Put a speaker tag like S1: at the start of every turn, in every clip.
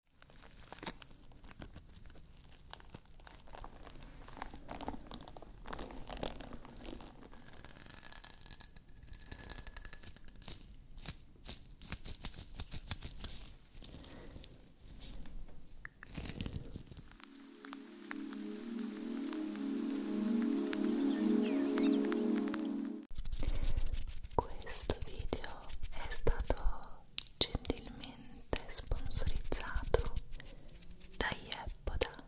S1: Questo video è stato gentilmente sponsorizzato da Yeboda.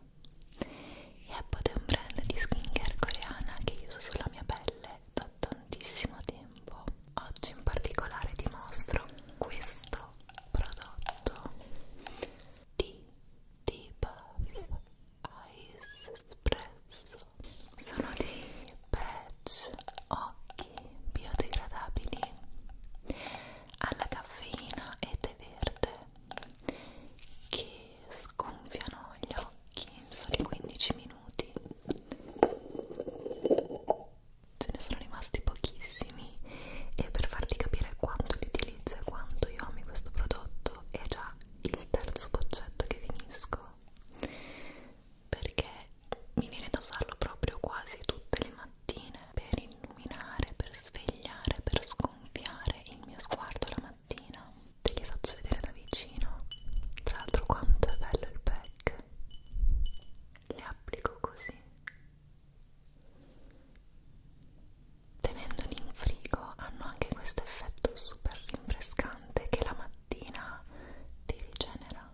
S1: Yeboda è un brand di skincare coreana che io uso sulla mia pelle da tantissimo tempo. Oggi in particolare ti mostro questo prodotto di Debuff Ice Espresso. Sono dei patch occhi e biodegradabili alla caffeina e tè verde che sgonfiano gli occhi in soli 15 minuti ce ne sono rimasti pochissimi e per farti capire quanto li utilizzo e quanto io ami questo prodotto è già il terzo boccetto che finisco perché mi viene da usarlo proprio quasi tutte le mattine per illuminare, per svegliare, per sgonfiare il mio sguardo la mattina. Te li faccio vedere da vicino. Tra l'altro quanto è bello il pack. Li applico così. Tenendoli in frigo hanno anche questo effetto super rinfrescante che la mattina ti rigenera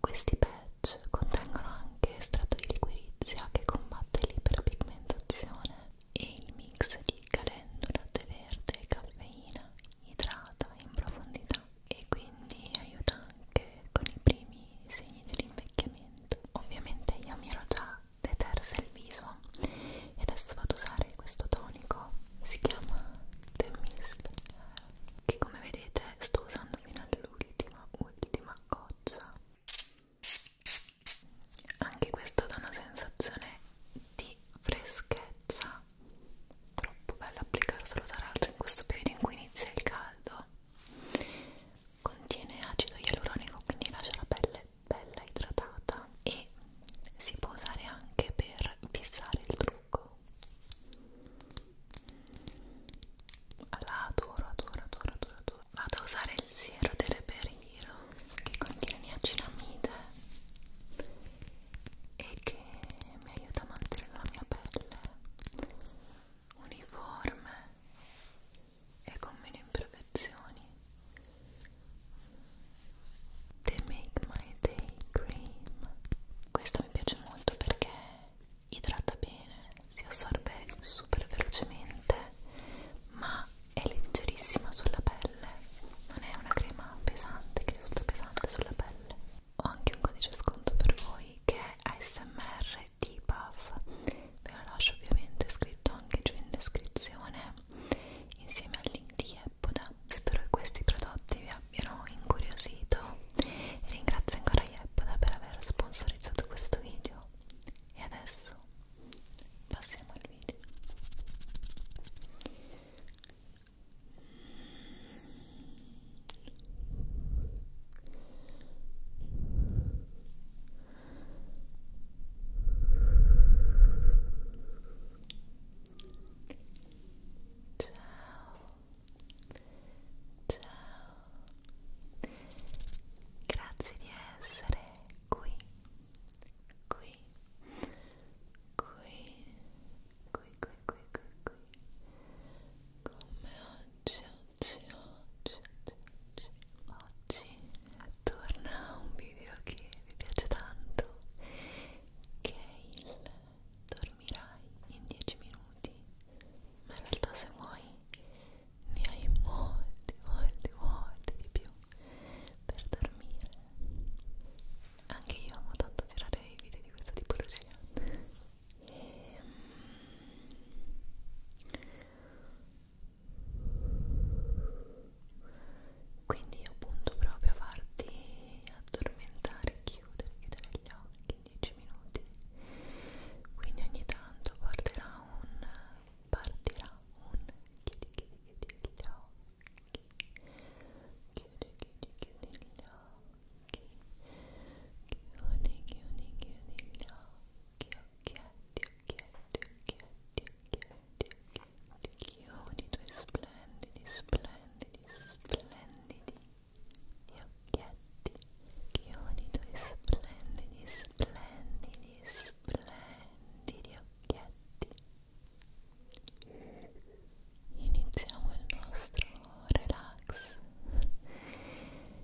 S1: questi patch contengono anche estratto di liquirizia che combatte l'iperpigmentazione e il mix di calendula, tè verde e caffeina idrata in profondità e quindi aiuta anche con i primi segni dell'invecchiamento. Ovviamente io mi ero già detersa il viso e adesso vado ad usare questo tonico, si chiama The Mist che come vedete sto usando fino all'ultima ultima goccia anche questo dà una sensazione di freschezza troppo bello applicarlo solo tra l'altro in questo periodo in cui inizia il caldo contiene acido ialuronico quindi lascia la pelle bella idratata e si può usare anche per fissare il trucco la adoro, adoro, adoro, adoro, adoro. Vado a usare il siero di reperiro che contiene niacinamide e che mi aiuta a mantenere la mia pelle uniforme e con meno imperfezioni. They make my day cream. Questa mi piace molto perché idrata bene, si assorbe super velocemente, ma è leggerissima sulla pelle, non è una crema pesante che risulta pesante sulla pelle. Ho anche un codice sconto per voi che è ASMR di Puff, ve lo lascio ovviamente scritto anche giù in descrizione insieme al link di Epoda. Spero che questi prodotti vi abbiano abbiano incuriosito e ringrazio ancora Yeppoda per aver sponsorizzato questo video e adesso passiamo al video Ciao Ciao, grazie di essere qui, qui, qui, qui, qui, qui, qui, qui. Come oggi, oggi, oggi, oggi, oggi, oggi torna un video che vi piace tanto, che è il dormirai in 10 minuti ma in realtà se vuoi ne hai molti molti molti di più per dormire anche io amo tanto girare i video di questa tipologia e, ehm, quindi io punto proprio a farti addormentare chiudere, chiudere gli occhi 15 minuti quindi ogni tanto partirà un partirà un chiudi chiudi chiudi gli occhi chiudi chiudi chiudi gli occhi chiudi chiudi chiudi gli occhi occhietti occhietti occhietti occhietti occhietti chiudi i tuoi splendidi splendidi splendidi gli occhietti chiudi i tuoi splendidi, splendidi, splendidi occhietti iniziamo il nostro relax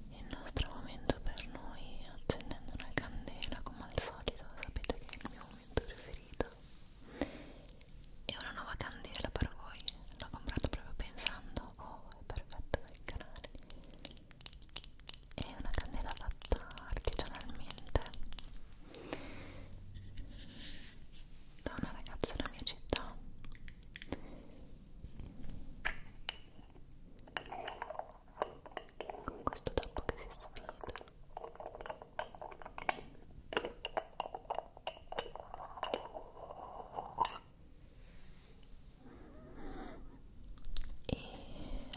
S1: il nostro momento per noi accendendo una candela come al solito sapete che è il mio momento preferito e una nuova candela per voi l'ho comprato proprio pensando oh è perfetto per il canale è una candela fatta artigianalmente da una ragazza della mia città con questo tappo che si sfida e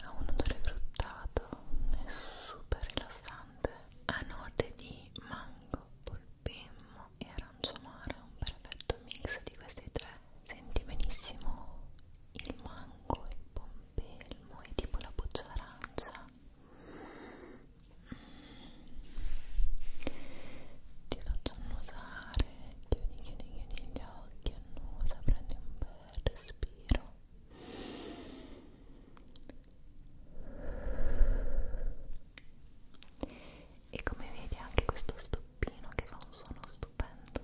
S1: ha un odore fruttato, è super rilassante, ha note di mango, polpemmo e arancio amaro, un perfetto mix di questi tre. Senti benissimo il mango, il pompelmo e tipo la buccia arancia ti faccio annusare chiudi, chiudi, chiudi gli occhi annusa, prendi un bel respiro e come vedi anche questo stoppino che fa un suono stupendo e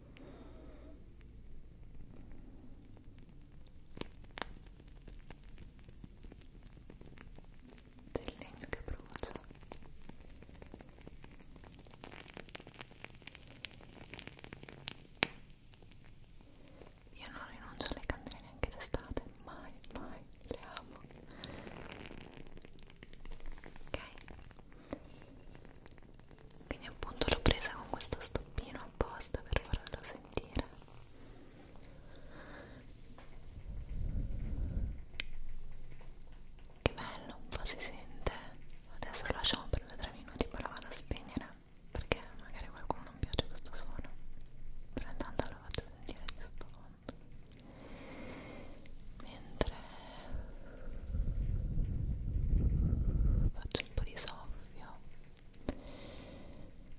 S1: del legno che brucia io non rinuncio alle candele neanche d'estate mai mai le amo ok quindi appunto l'ho presa con questo stoppino apposta per farlo sentire che bello un po' si sente adesso lo lasciamo per 2-3 minuti poi lo vado a spegnere perché magari a qualcuno non piace questo suono però intanto lo faccio sentire di sottofondo mentre faccio un po' di soffio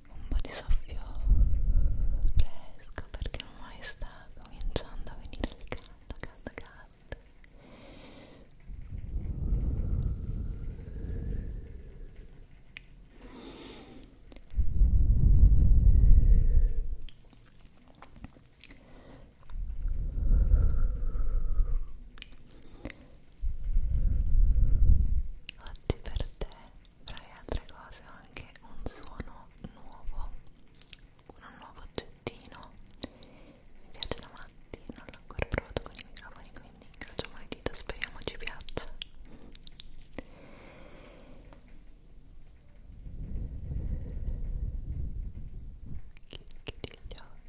S1: un po' di soffio fresco perché ormai sta cominciando a venire il caldo caldo caldo Oggi per te, tra le altre cose, ho anche un suono nuovo, un nuovo oggettino. Mi piace da matti, non l'ho ancora provato con i microfoni, quindi incrociamo le dita, speriamo ci piaccia. Chiudi gli occhi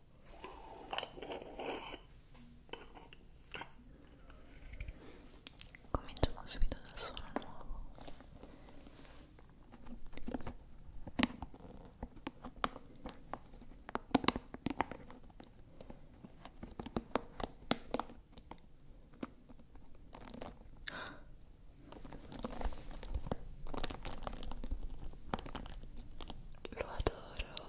S1: Cominciamo subito dal suono nuovo. Lo adoro tesoro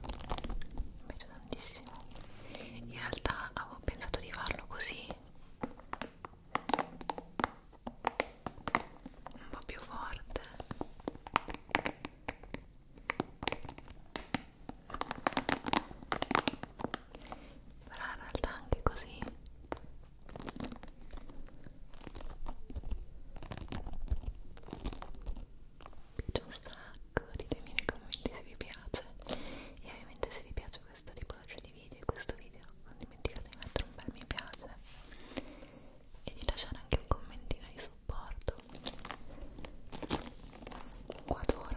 S1: mi piace tantissimo in realtà avevo pensato di farlo così un po' più forte però in realtà anche così piace un sacco ditemi nei commenti se vi piace e ovviamente se vi piace questo tipologia di video e questo video non dimenticate di mettere un bel mi piace e di lasciare anche un commentino di supporto qua adoro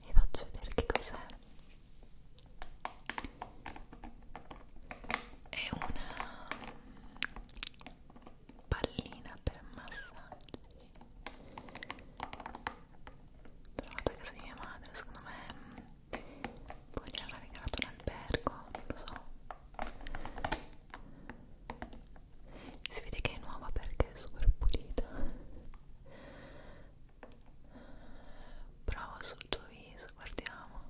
S1: Vi faccio vedere che cos'è. È una pallina per massaggio trovata a casa di mia madre, secondo me mm, poi gli hanno regalato l'albergo, non lo so. Si vede che è nuova perché è super pulita. Prova sul tuo viso, guardiamo.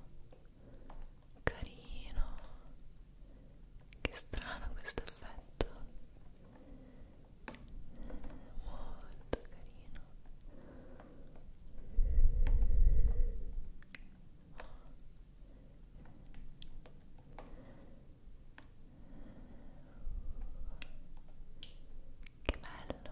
S1: Carino che strano questo effetto. Molto carino. Che bello.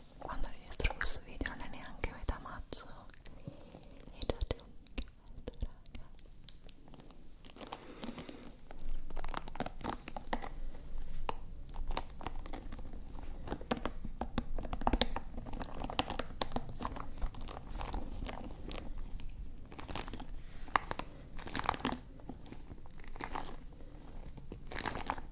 S1: quando registro questo video non è neanche metà marzo e già c'è un caldo raga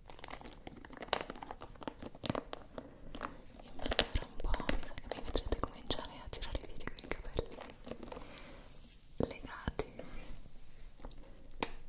S1: tra un po' mi sa che mi vedrete cominciare a girare i video con i capelli legati Ecco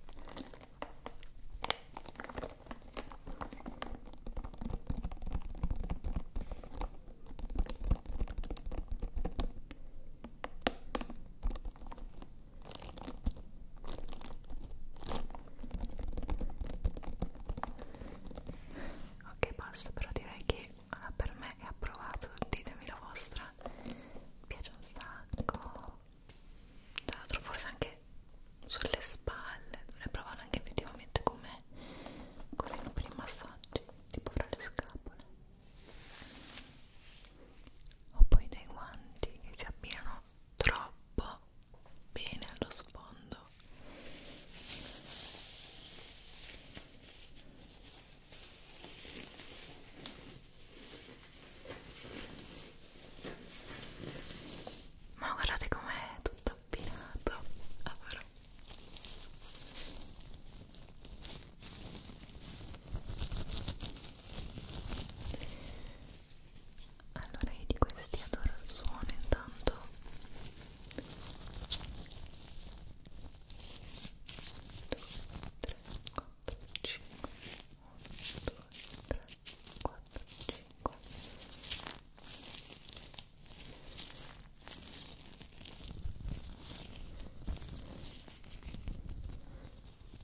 S1: Ok, basta, però direi che allora, per me è approvato, ditemi la vostra. Mi piace un sacco. Tra l'altro forse anche sulle spalle, dovrei provarlo anche effettivamente come così per i massaggi, tipo fra le scapole. Ho poi dei guanti che si abbinano troppo bene allo sfondo ma guardate com'è tutto appinato allora. Allora io di questi adoro il suono intanto due, tre, quattro, cinque uno, due, tre, quattro, cinque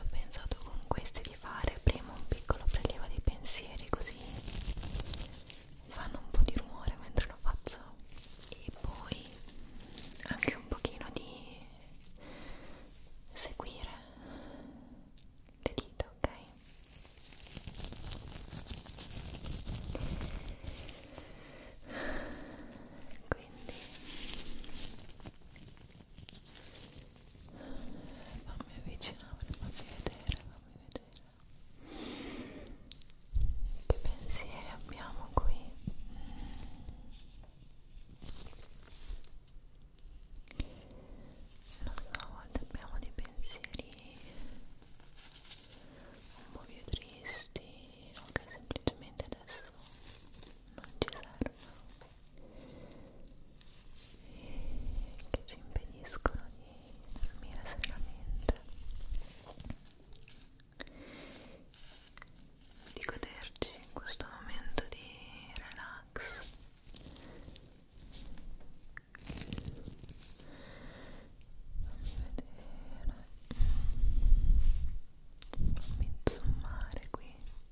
S1: ho pensato con questi di fare prima un piccolo prelievo dei pensieri così fanno un po' di rumore mentre lo faccio e poi anche un pochino di seguire le dita ok quindi fammi avvicinare, fammi vedere, fammi vedere che pensieri abbiamo qui non so, a volte abbiamo dei pensieri un po' più tristi o che semplicemente adesso non ci servono che ci impediscono di dormire serenamente di goderci in questo momento di relax fammi vedere fammi zoomare qui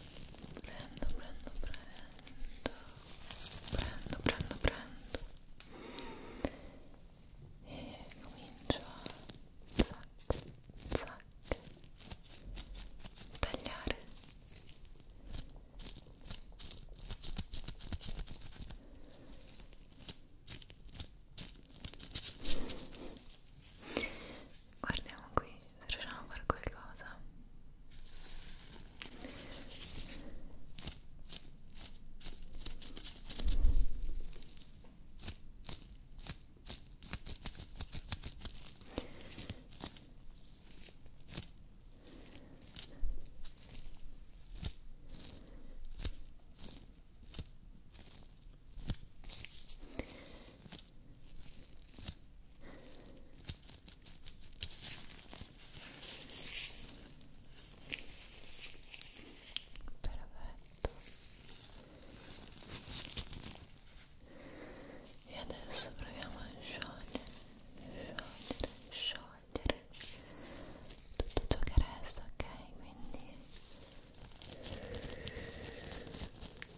S1: prendo, prendo, prendo, prendo, prendo, prendo e comincio a zac, zac, tagliare guardiamo qui se riusciamo a fare qualcosa Perfetto. E adesso proviamo a sciogliere, sciogliere, sciogliere tutto ciò che resta, ok? Quindi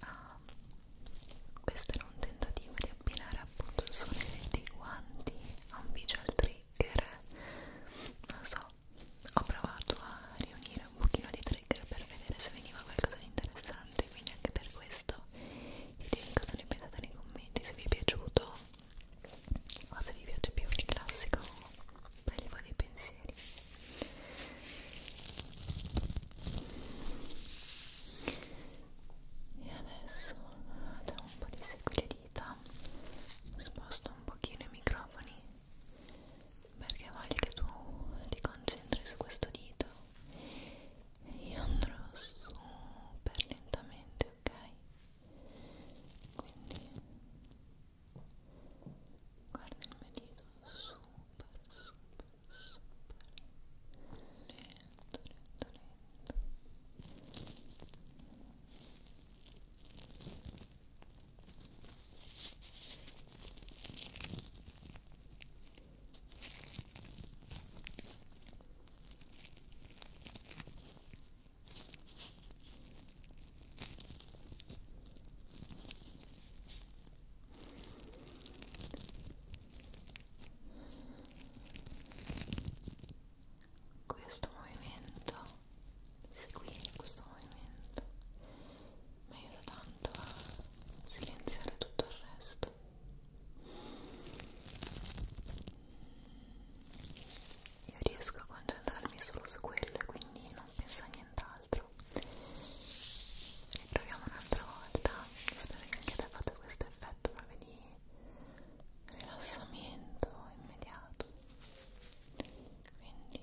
S1: ah, questo era un tentativo di abbinare appunto il suono dei guanti a un visual trigger non so ho provato a riunire un pochino di trigger per vedere se veniva qualcosa di interessante interessante quindi anche per questo vi direi cosa ne pensate nei commenti se vi è piaciuto o se vi piace più il classico prelevo dei pensieri e adesso facciamo un po' di secco le dita sposto un pochino i microfoni perché voglio che tu ti concentri su questo dito io andrò super lentamente, ok? Quindi guarda il mio dito super, super, super lento, lento, lento questo movimento, seguire questo movimento mi aiuta tanto a silenziare tutto il resto. Io riesco a concentrarmi solo su quello e quindi non penso a nient'altro. Riproviamo un'altra volta. Spero che anche te faccia questo effetto proprio di rilassamento immediato. Quindi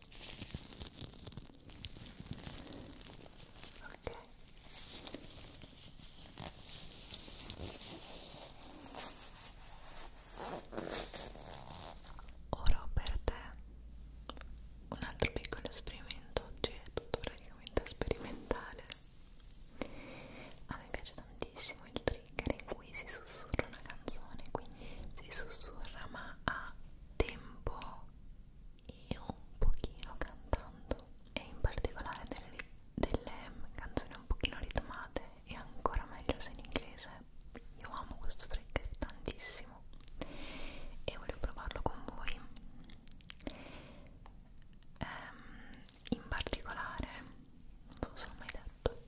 S1: ok ora ho per te un altro piccolo esperimento oggi è tutto praticamente sperimentale a me piace tantissimo il trigger in cui si sussurra una canzone quindi si sussurra ma a tempo io un pochino cantando e in particolare delle, delle canzoni un pochino ritmate e ancora meglio se in inglese io amo questo trick tantissimo e volevo provarlo con voi ehm, in particolare non so se l'ho mai detto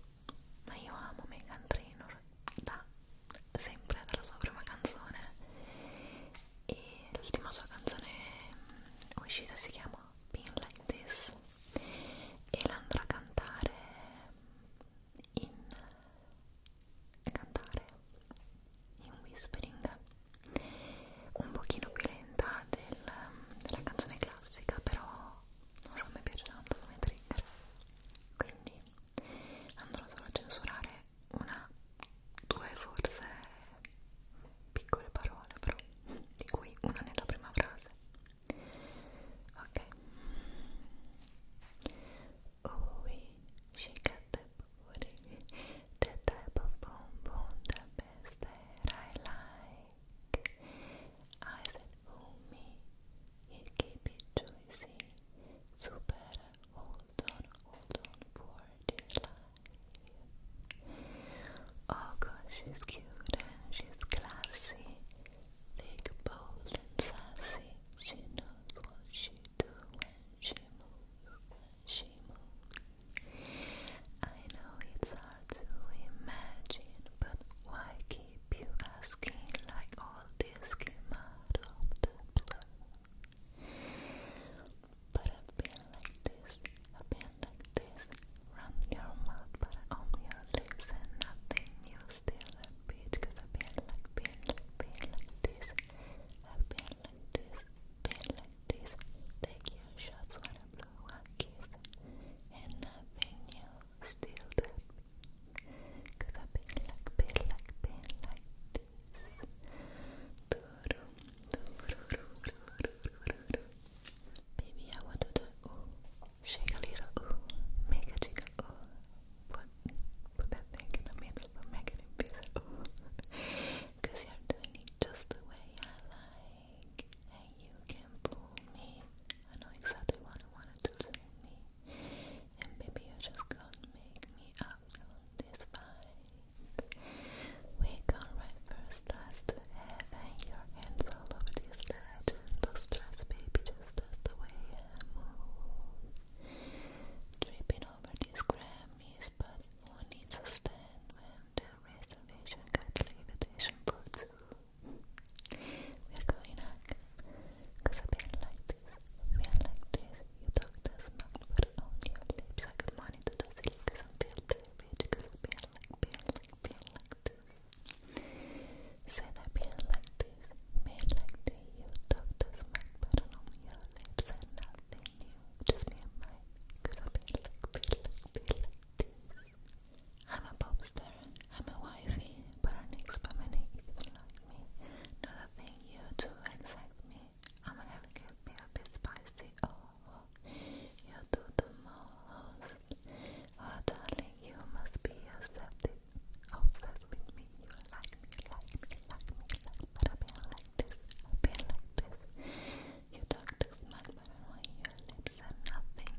S1: ma io amo Megan Trainor da sempre dalla sua prima canzone e l'ultima sua canzone mm, uscita si chiama Being Like This e la andrà a cantare in cantare in whispering un pochino più lenta del, della canzone classica però non so mi piace tanto come trigger quindi andrò solo a censurare una, due forse piccole parole però, di cui una nella prima frase ok oh oui, she got the booty the type of bonbon the best that I like I said oh me It keep it juicy, so hold on, hold on for dear Oh gosh, she's cute and she's classy, big, bold and sassy. She knows what she do when she moves, she moves. I know it's hard to imagine, but why keep you asking like all this came out of the blue? But I've like this, I've like this Run your mouth but on your lips and nothing you still repeat Cause I've like, been like, been like this I've like this, been like this Take your shots when I blow a kiss And nothing you still repeat Cause I've like, been like, been like this. Maybe I want to do shake a little, make a jiggle, put, put that thing in make it invisible, Cause you're doing it just the way I like, and you can fool me. I know exactly what I want to do to me. And maybe you're just gonna make me up on this fight. We're going first class heaven. Your hands all over this ledge. And stress, baby, just as the way I move. Tripping over these Grammys, but one needs a stand when the reservation got the invitation we We're going up, i I've been like feel like this, you talk this much, but on I could monitor the silly cause I'm feel diabetic, cause I feel like, feel like, feel like this I feel like this, you talk this much, but on your lips and nothing new Just me and my, cause I feel like, feel like, feel like this I'm a pop I'm a wifey, but I need family is like me Not that you to accept me. I'm having a bit spicy. Oh, you do the most. Oh, darling, you must be accepted. Obsessed with me. You like me, like me, like me, like But I've like this, I've like this. You talk this much, but I your lips are nothing.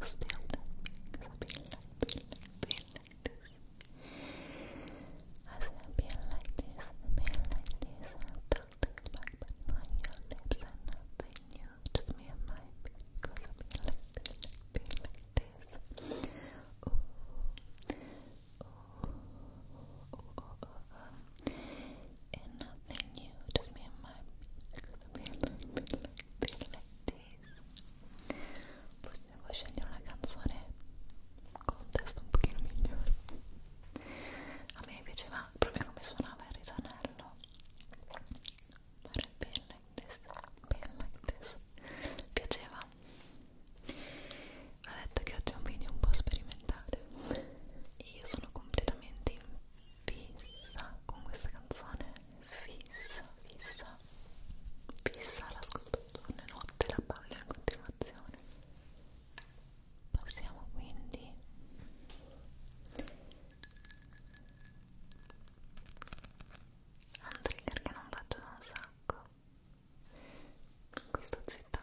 S1: You still love me. Cause like this. I said, like this, being this, and talk lips and nothing new. Just me and my cause I'm like, being like, like this. Ooh, ooh, ooh, ooh, ooh, And nothing new, just me and my cause I'm like, this. se vuoi scegliere una canzone con un testo un pochino migliore a me piaceva proprio come suonava il ritornello fare ben like this, ben like this piaceva ho detto che oggi è un video un po' sperimentale e io sono completamente in fissa con questa canzone fissa, fissa fissa l'ascoltatore notte la palla in continuazione passiamo quindi a un trigger che non faccio da un sacco questa zitta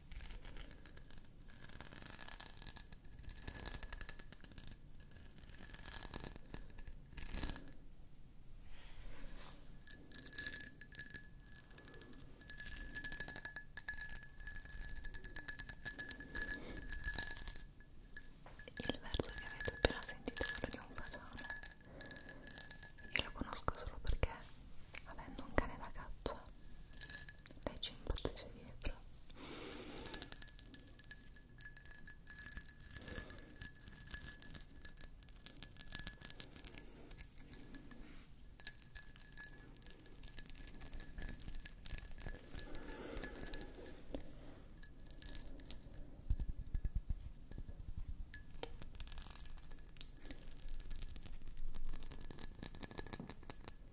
S1: Il verso che avete appena sentito è quello di un fasone. Io lo conosco solo perché, avendo un cane da caccia, lei ci imbattisce dietro Ecco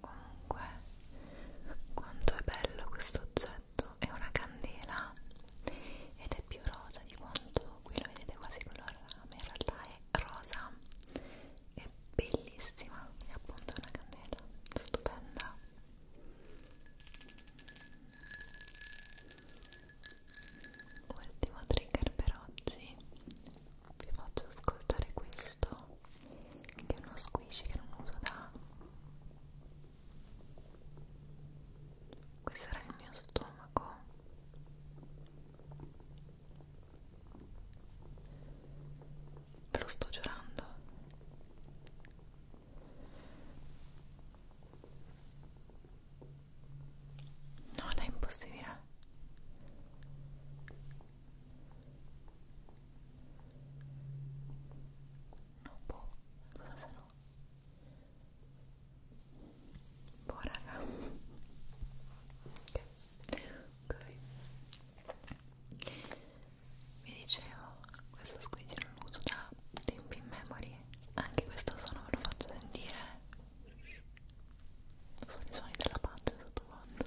S1: Comunque, quanto è bello questo oggetto oggetto è una candela ed è più rosa di quanto qui la vedete quasi color rame in realtà è rosa è bellissima è appunto una candela stupenda ultimo trigger per oggi vi faccio ascoltare questo che è uno squishy che non uso da questo era il mio stomaco ve lo sto giurando no è impossibile no boh cosa se strano boh raga ok, okay. vi dicevo questo squidgy non lo uso da tempi in memory anche questo suono ve lo faccio sentire sono i suoni della pancia sottofondo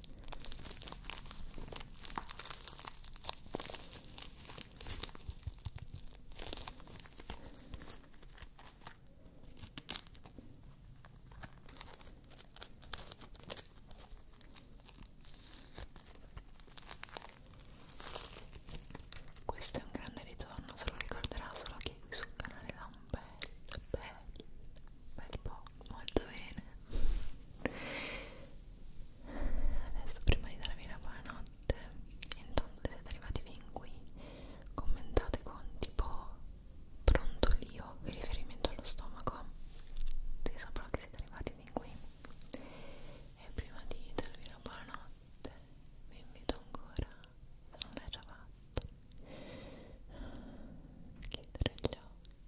S1: Questo è un grande ritorno, se lo ricorderà solo chi sul canale da un bel, bel bel, eh, bel po', molto bene adesso prima di darvi la buonanotte intanto se siete arrivati fin qui commentate con tipo brontolio in riferimento allo stomaco se saprò che siete arrivati fin qui e prima di darvi la buonanotte vi invito ancora se non l'hai già fatto chiudere gli occhi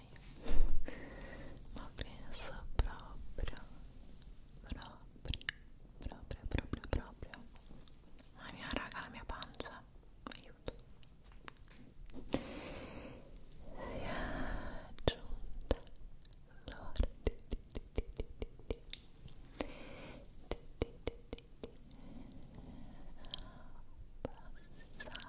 S1: mai ma penso proprio proprio proprio proprio proprio mamma mia raga la mia pancia aiuto si è giunta l'ora di, di, di, di, di, di. Di, di, di, di, di. passare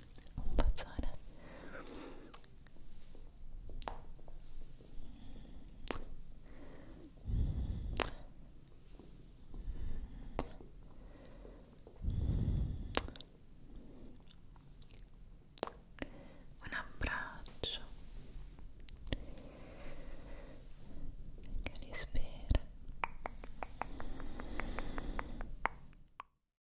S1: un bacione un abbraccio che li spera